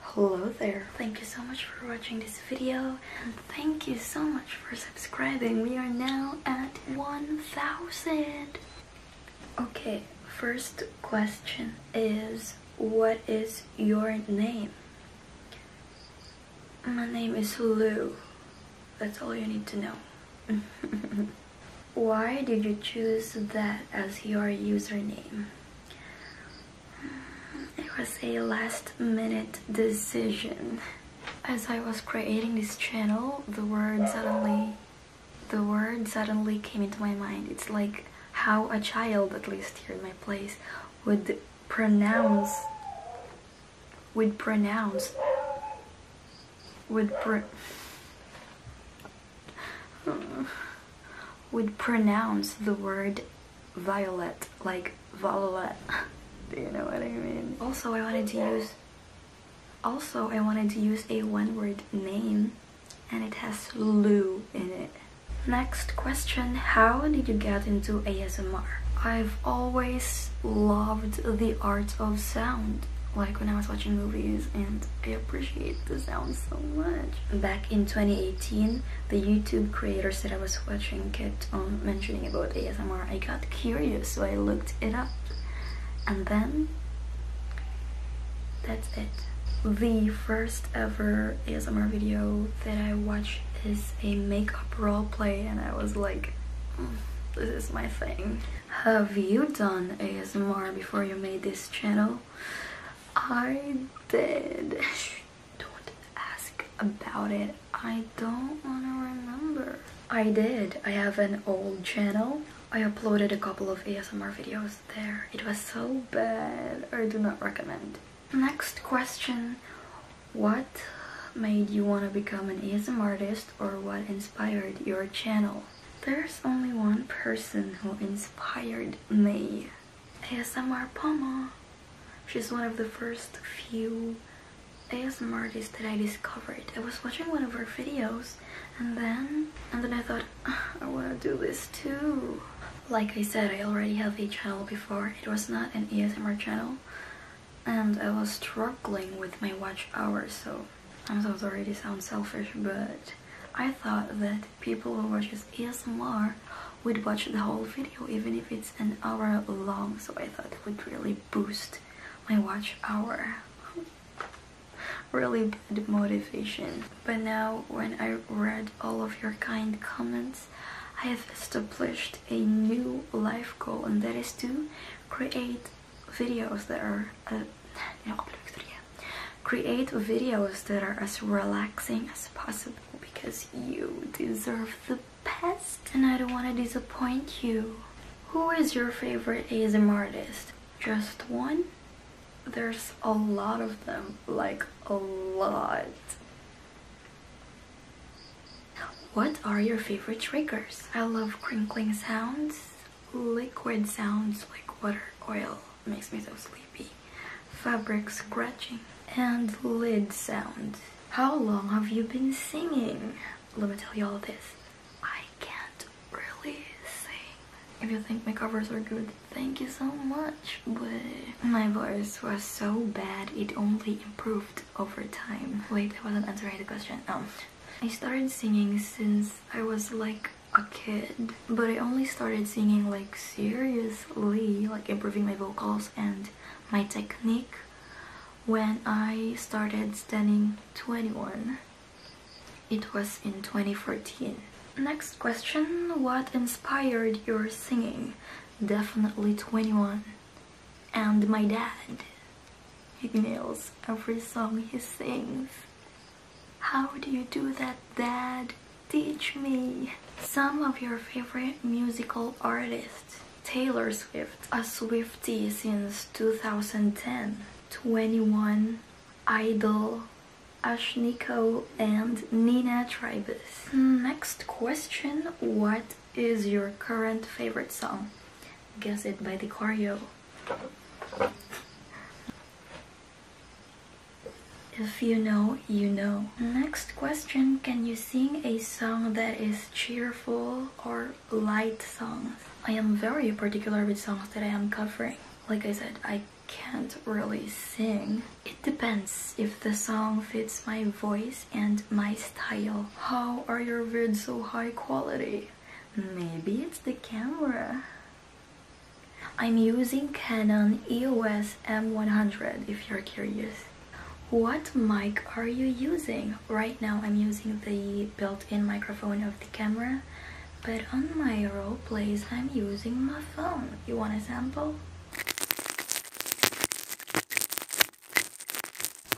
Hello there. Thank you so much for watching this video and thank you so much for subscribing. We are now at 1000. Okay, first question is what is your name? My name is Lou. That's all you need to know. Why did you choose that as your username? It was a last minute decision. As I was creating this channel, the word suddenly the word suddenly came into my mind. It's like how a child, at least here in my place, would pronounce would pronounce would pr would pronounce the word violet like violet. Do you know what I mean? Also, I wanted to use. Also, I wanted to use a one-word name, and it has Lou in it. Next question, how did you get into ASMR? I've always loved the art of sound, like when I was watching movies and I appreciate the sound so much. Back in 2018, the YouTube creator said I was watching it, on um, mentioning about ASMR. I got curious, so I looked it up. And then, that's it. The first ever ASMR video that I watched is a makeup role play and I was like, mm, this is my thing. Have you done ASMR before you made this channel? I did. Don't ask about it. I don't want to remember. I did. I have an old channel. I uploaded a couple of ASMR videos there. It was so bad. I do not recommend. Next question. What made you want to become an ASMR artist or what inspired your channel? There's only one person who inspired me. ASMR Poma. She's one of the first few ASMR artists that I discovered. I was watching one of her videos and then and then I thought ah, I want to do this too. Like I said, I already have a channel before. It was not an ASMR channel and I was struggling with my watch hours so I'm so sorry to sound selfish but I thought that people who watches ASMR would watch the whole video even if it's an hour long so I thought it would really boost my watch hour really bad motivation but now when I read all of your kind comments I have established a new life goal and that is to create videos that are uh, Create videos that are as relaxing as possible because you deserve the best and I don't want to disappoint you. Who is your favorite ASM artist? Just one? There's a lot of them, like a lot. What are your favorite triggers? I love crinkling sounds, liquid sounds like water, oil, makes me so sleepy. Fabric scratching and lid sound. How long have you been singing? Let me tell you all this. I can't really sing. If you think my covers are good, thank you so much, but my voice was so bad it only improved over time. Wait, I wasn't answering the question. Um, I started singing since I was like a kid but I only started singing like seriously like improving my vocals and my technique when I started standing 21 it was in 2014 next question what inspired your singing definitely 21 and my dad he nails every song he sings how do you do that, Dad? Teach me! Some of your favorite musical artists. Taylor Swift, a Swiftie since 2010. 21, Idol, Ashniko and Nina Tribus. Next question, what is your current favorite song? Guess it by the choreo. If you know, you know. Next question, can you sing a song that is cheerful or light songs? I am very particular with songs that I am covering. Like I said, I can't really sing. It depends if the song fits my voice and my style. How are your vids so high quality? Maybe it's the camera. I'm using Canon EOS M100 if you're curious. What mic are you using? Right now I'm using the built-in microphone of the camera, but on my role plays I'm using my phone. You want a sample?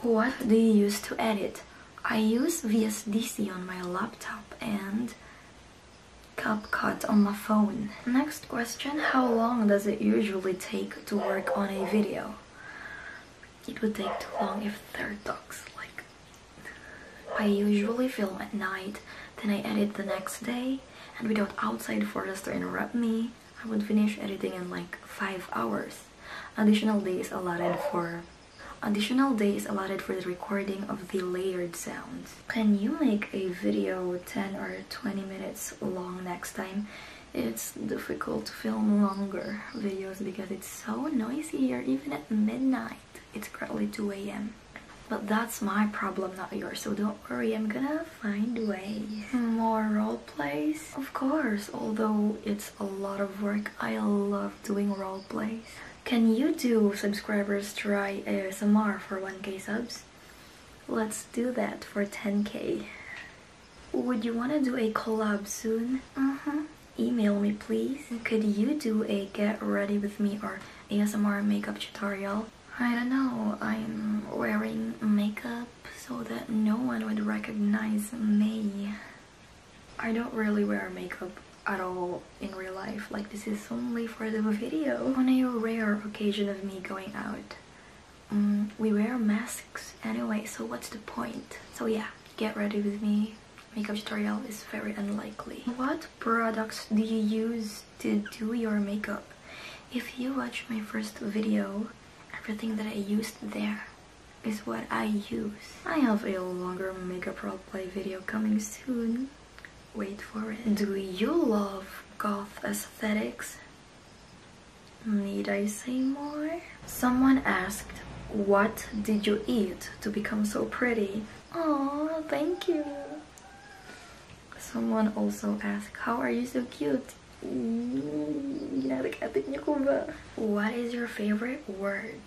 What do you use to edit? I use VSDC on my laptop and cup cut on my phone. Next question, how long does it usually take to work on a video? It would take too long if there are dogs, like... I usually film at night, then I edit the next day, and without outside forces to interrupt me, I would finish editing in like 5 hours. Additional days allotted for... Additional days allotted for the recording of the layered sounds. Can you make a video 10 or 20 minutes long next time? It's difficult to film longer videos because it's so noisy here, even at midnight. It's currently 2 a.m. But that's my problem, not yours, so don't worry, I'm gonna find ways. More role plays? Of course, although it's a lot of work, I love doing role plays. Can YouTube subscribers try ASMR for 1k subs? Let's do that for 10k. Would you want to do a collab soon? Uh-huh. Email me please. Could you do a get ready with me or ASMR makeup tutorial? I don't know, I'm wearing makeup so that no one would recognize me. I don't really wear makeup at all in real life like this is only for the video on a rare occasion of me going out mm, we wear masks anyway so what's the point so yeah get ready with me makeup tutorial is very unlikely what products do you use to do your makeup if you watch my first video everything that I used there is what I use I have a longer makeup role play video coming soon Wait for it. Do you love goth aesthetics? Need I say more? Someone asked, what did you eat to become so pretty? Oh, thank you. Someone also asked, how are you so cute? What is your favorite word?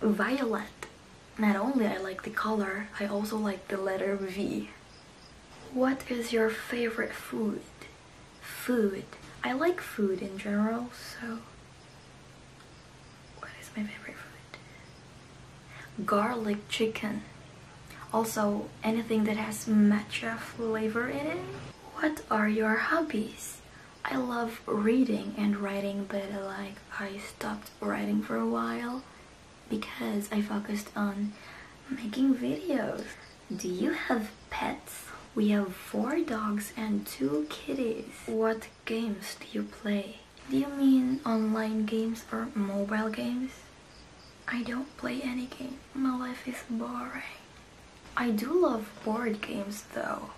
violet. Not only I like the color, I also like the letter V. What is your favorite food? Food. I like food in general, so what is my favorite food? Garlic chicken. Also, anything that has matcha flavor in it. What are your hobbies? I love reading and writing, but like I stopped writing for a while because I focused on making videos. Do you have pets? We have four dogs and two kitties. What games do you play? Do you mean online games or mobile games? I don't play any game. My life is boring. I do love board games though.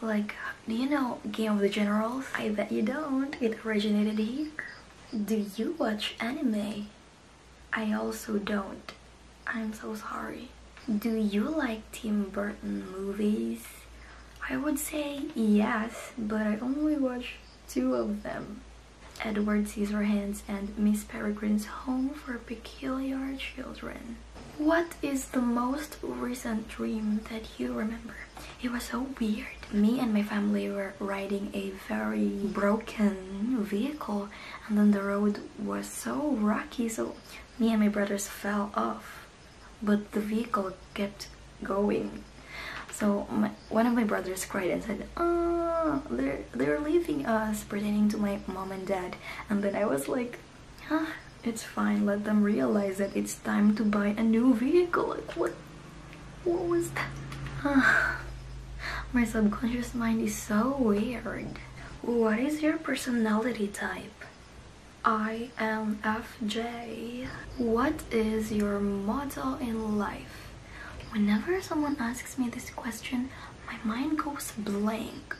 Like, do you know Game of the Generals? I bet you don't. It originated here. Do you watch anime? I also don't. I'm so sorry. Do you like Tim Burton movies? I would say yes, but I only watch two of them. Edward Scissorhands and Miss Peregrine's Home for Peculiar Children. What is the most recent dream that you remember? It was so weird. Me and my family were riding a very broken vehicle and then the road was so rocky so me and my brothers fell off. But the vehicle kept going. So one of my brothers cried and said, oh, they're, they're leaving us, pretending to my mom and dad. And then I was like, ah, it's fine. Let them realize that it's time to buy a new vehicle. Like what? What was that? Ah, my subconscious mind is so weird. What is your personality type? I am FJ. What is your motto in life? Whenever someone asks me this question, my mind goes blank.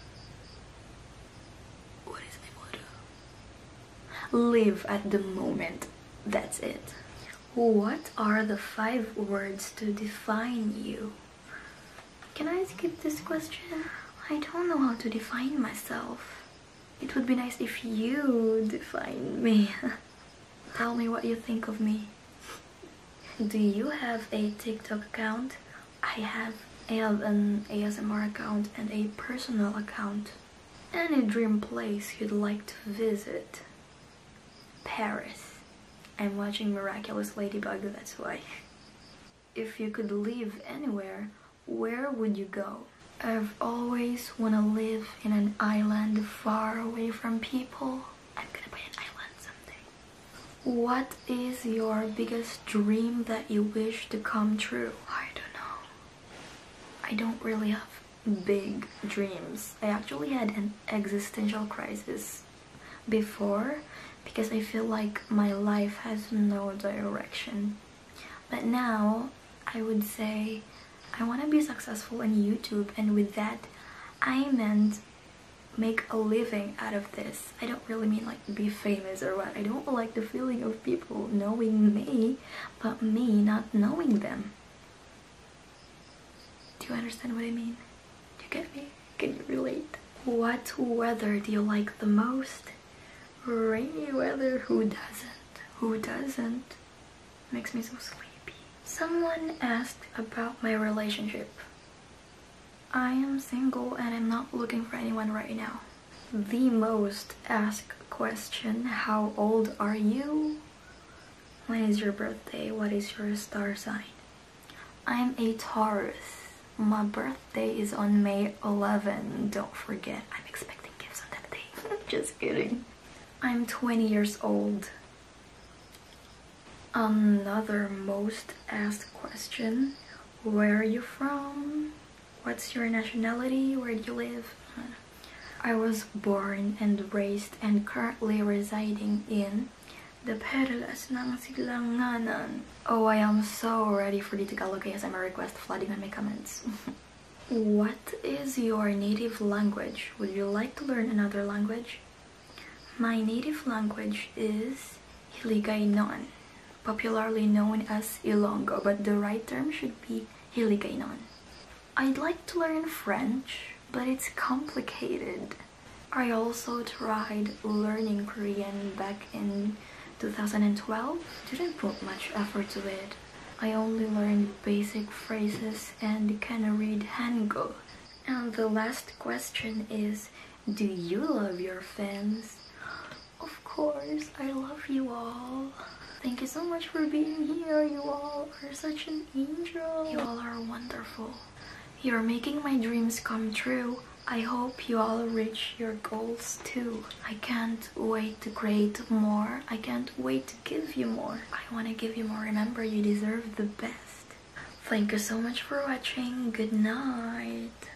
Live at the moment, that's it. What are the five words to define you? Can I skip this question? I don't know how to define myself. It would be nice if you define me. Tell me what you think of me. Do you have a TikTok account? I have. I have an ASMR account and a personal account. Any dream place you'd like to visit? Paris. I'm watching Miraculous Ladybug, that's why. If you could live anywhere, where would you go? I've always wanna live in an island far away from people. I'm gonna buy an island someday. What is your biggest dream that you wish to come true? I don't know. I don't really have big dreams. I actually had an existential crisis before because I feel like my life has no direction. But now I would say I want to be successful on YouTube and with that I meant make a living out of this. I don't really mean like be famous or what. I don't like the feeling of people knowing me, but me not knowing them. Do you understand what I mean? Do you get me? Can you relate? What weather do you like the most? Rainy weather, who doesn't? Who doesn't? Makes me so sleepy. Someone asked about my relationship. I am single and I'm not looking for anyone right now the most asked question How old are you? When is your birthday? What is your star sign? I'm a Taurus. My birthday is on May 11. Don't forget, I'm expecting gifts on that day. Just kidding. I'm 20 years old. Another most asked question Where are you from? what's your nationality, where do you live? I was born and raised and currently residing in the Perlas ng nanan. Oh, I am so ready for the Tagalog ASMR request flooding on my comments. what is your native language? Would you like to learn another language? My native language is Hiligaynon popularly known as Ilongo, but the right term should be Hiligaynon. I'd like to learn French, but it's complicated. I also tried learning Korean back in 2012. Didn't put much effort to it. I only learned basic phrases and can read Hangul. And the last question is, do you love your fans? Of course, I love you all. Thank you so much for being here. You all are such an angel. You all are wonderful. You're making my dreams come true. I hope you all reach your goals too. I can't wait to create more. I can't wait to give you more. I want to give you more. Remember, you deserve the best. Thank you so much for watching. Good night.